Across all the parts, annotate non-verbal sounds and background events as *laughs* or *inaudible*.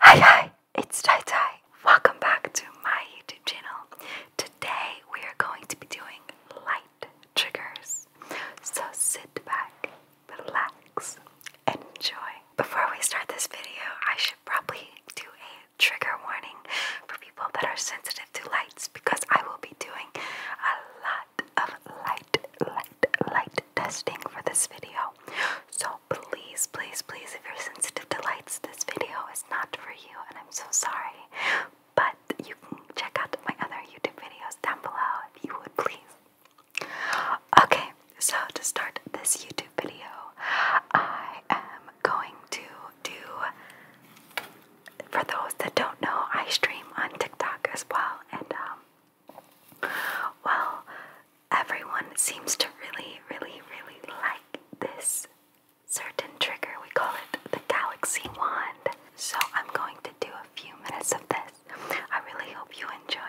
Hi hi, it's Tai Tai. Welcome back to my YouTube channel. Today we are going to be doing light triggers. So sit back, relax, and enjoy. Before we start this video, I should probably do a trigger warning for people that are sensitive to lights because I will be doing a lot of light, light, light testing for this video. So please, please, please, if you're sensitive to lights, this video is not for you, and I'm so sorry. But you can check out my other YouTube videos down below if you would please. Okay, so to start this YouTube video, I am going to do. For those that don't know, I stream on TikTok as well, and um, well, everyone seems to really, really, really like this certain trigger. We call it the Galaxy Wand. So I'm going to do a few minutes of this. I really hope you enjoy it.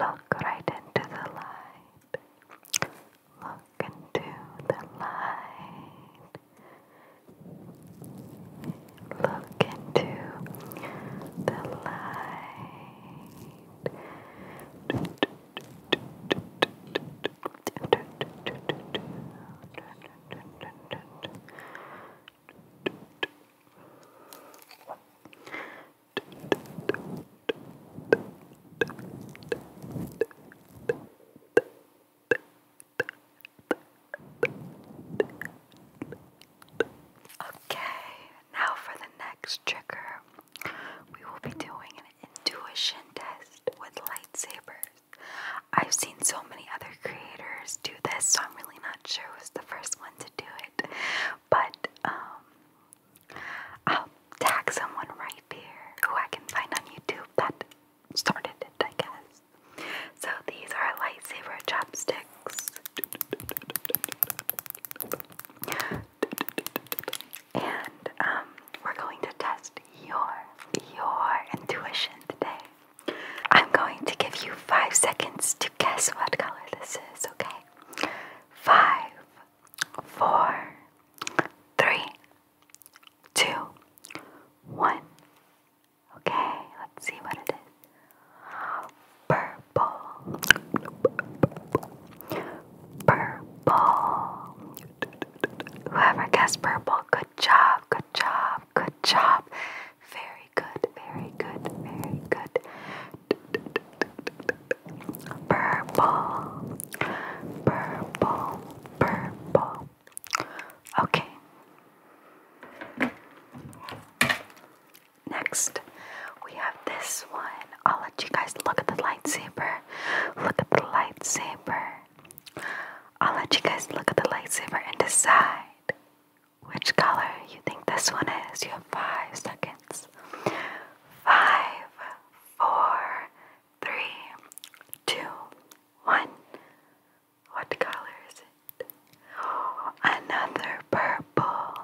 Look right into the light. Look into the light. Look into the light. Okay, now for the next trigger, we will be doing an intuition test with lightsabers. I've seen so many other creators do this, so I'm really not sure was the first one to do it. But um, I'll tag someone right here who I can find on YouTube that started it, I guess. So these are lightsaber chopsticks. And um, we're going to test your your intuition today. I'm going to give you five seconds to guess what color this is, okay? Five, four, three, two, one. Okay, let's see what it is. Purple, purple. Whoever guessed purple, good job, good job, good job. Very good, very good, very good. Purple, purple, purple. Okay. Next, we have this one. I'll let you guys look at the lightsaber. Look at the lightsaber. I'll let you guys look at the lightsaber and decide which color you think this one is. You have five seconds. Five, four, three, two, one. What color is it? another purple.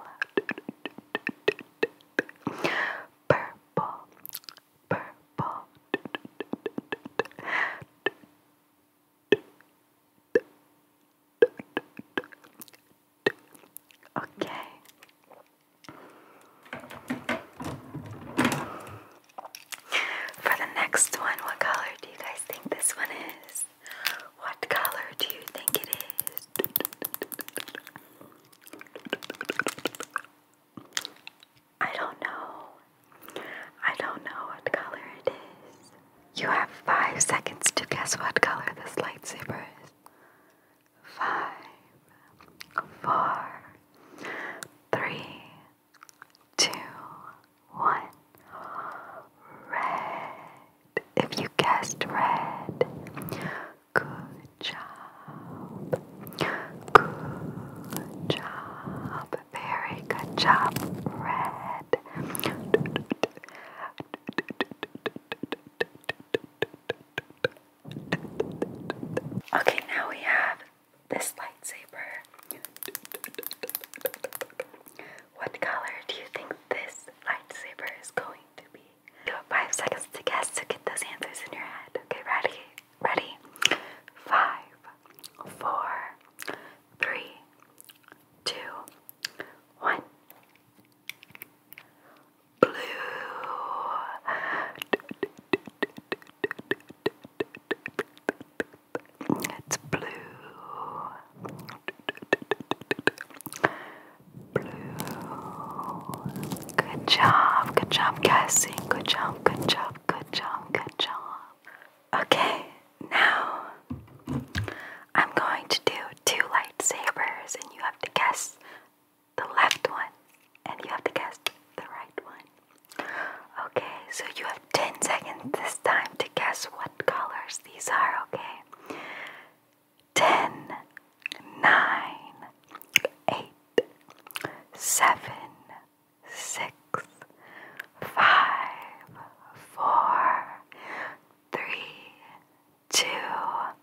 Purple, purple. Okay, for the next one, what color do you guys think this one is? What color do you think it is? I don't know. I don't know what color it is. You have five seconds to guess what color this lightsaber is five, four, three, two, one. Red. If you guessed red, good job. Good job. Very good job. Red. Okay, now we have this lightsaber. What color do you think this lightsaber is going to be? You have five seconds to guess to get those answers in your head. Okay, ready? Ready? Five, four, three, two, one blue. It's blue. Blue. Good job, good job guessing. Good job, good job, good job, good job. Okay, now I'm going to do two lightsabers and you have to guess the left one, and you have to guess the right one. Okay, so you have 10 seconds this time to guess what colors these are, okay? ten, nine, eight, seven, six, five, four, three two,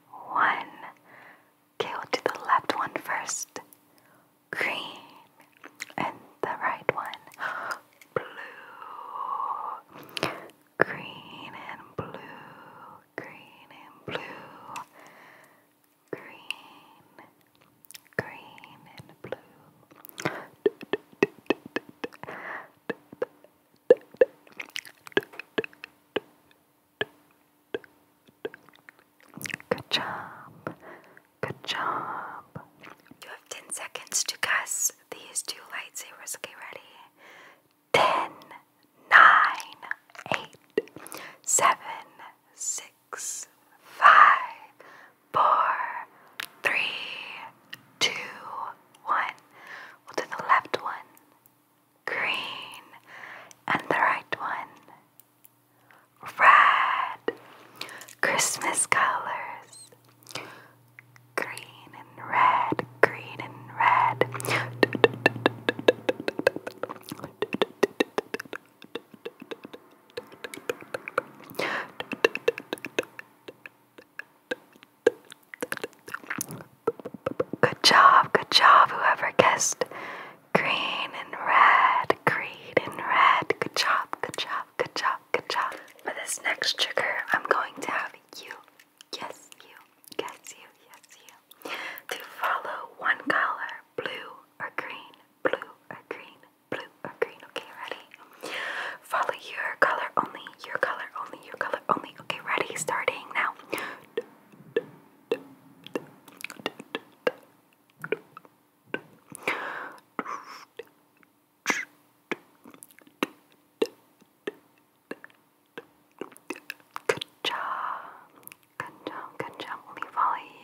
one. Okay, we'll do the left one first. Green. And the right one. Blue. Green and blue. Green and blue. Green. Green and blue. Good job. Good job. You have 10 seconds to guess these two lightsabers. Okay, ready? 10, we We'll do the left one green, and the right one, red. Christmas colors, green and red, green and red. Good job, good job, whoever guessed green and red, green and red. Good job, good job, good job, good job. For this next trigger, I'm going to have you, yes, you, yes, you, yes, you, to follow one color, blue or green, blue or green, blue or green. Okay, ready? Follow your color only, your color only, your color only. Oh, okay, ready? Starting now. Good job. Good job. Good job. Only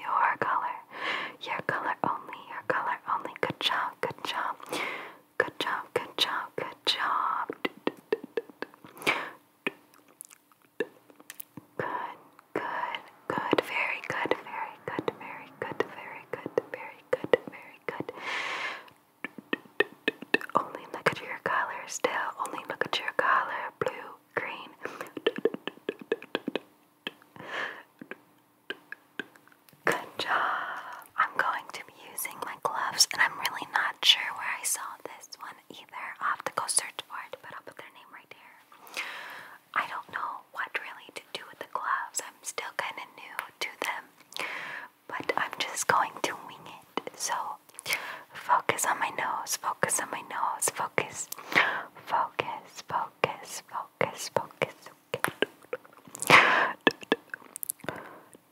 your color. Your color only. Your color only. Good job. Good job. Good job, good job, good job. Good, good, good, very good, very good, very good, very good, very good, very good. Only look at your color still. Only look at your color. Blue, green. Good job. I'm going to be using my gloves, and I'm really not sure where I saw this one either. i have to go search for it, but I'll put their name right here. I don't know what really to do with the gloves. I'm still kind of new to them, but I'm just going to wing it. So focus on my nose, focus on my nose, focus, focus, focus, focus, focus. Okay,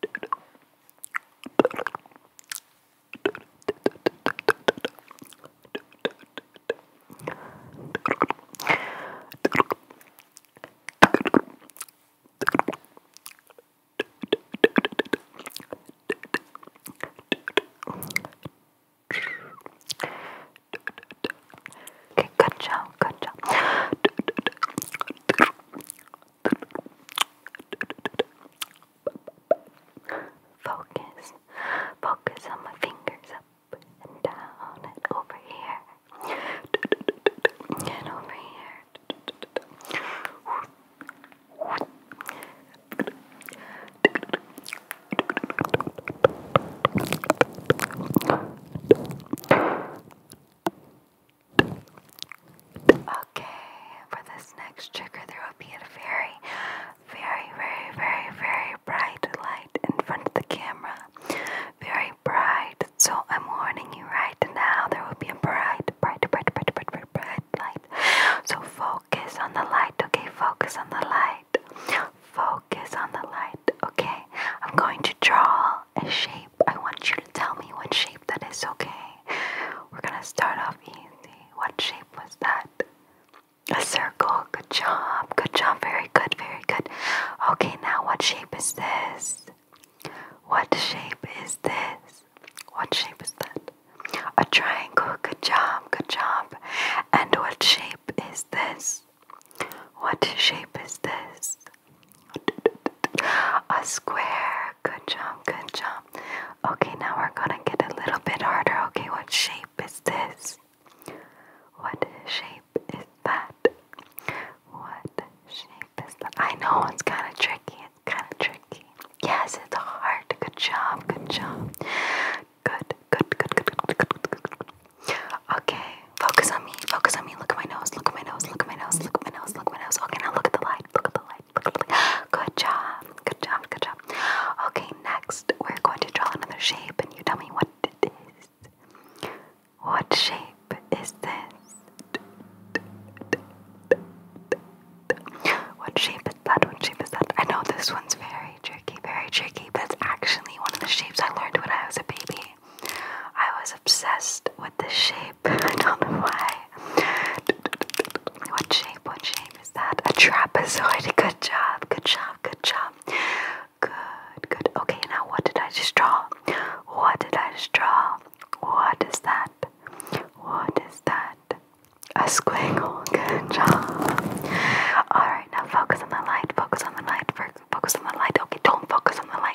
good job, good job. Focus. Focus on my fingers up and down and over here. And over here. Focus Okay, for this next trigger, there will be a very, very, very, very, very bright light in front of the camera. Very bright. So I'm warning you right now, there will be a bright, bright, bright, bright, bright, bright, light. So focus on the light, okay? Focus on the light. Focus on the light, okay? I'm going to draw a shape. I want you to tell me what shape that is, okay? We're gonna start off easy. What shape was that? A circle. Good job. Good job. Very good. Very good. Okay, now what shape is this? What shape is this? What shape is that? A triangle. Good job. Good job. And what shape is this? What shape is this? A square. Good job, good job. Okay, now we're gonna get a little bit harder. Okay, what shape is this? What shape is that? What shape is that? I know it's kind of tricky. It's kind of tricky. Yes, it's hard. Good job, good job. Good, good, good, good, good, good. good. Okay, Focus on me. Focus on me. Look at my nose. Look at my nose. Look at my nose. Look at my nose. Look at my nose. Okay, now look at the light. Look at the light. Look at the light. *gasps* Good job. Good job. Good job. Okay, next we're going to draw another shape and you tell me what it is. What shape is this? What shape is that? What shape is that? I know this one's very tricky, very tricky, but it's actually one of the shapes I learned when I was a baby. I was obsessed with the shape. *laughs* I don't know why. What shape? What shape is that? A trapezoid. *laughs* Good job. Good job. Good job. Good. Good. Okay. Now, what did I just draw? What did I just draw? What is that? What is that? A squiggle. *laughs* Good job. All right. Now, focus on the light. Focus on the light. Focus on the light. Okay. Don't focus on the light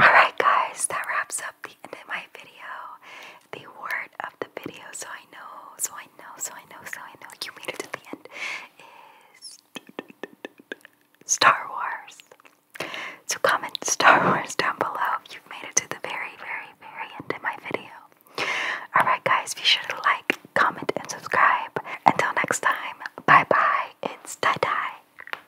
Alright, guys, that wraps up the end of my video. The word of the video, so I know, so I know, so I know, so I know you made it to the end, is Star Wars. So comment Star Wars down below if you've made it to the very, very, very end of my video. Alright, guys, be sure to like, comment, and subscribe. Until next time, bye bye. It's tie dye.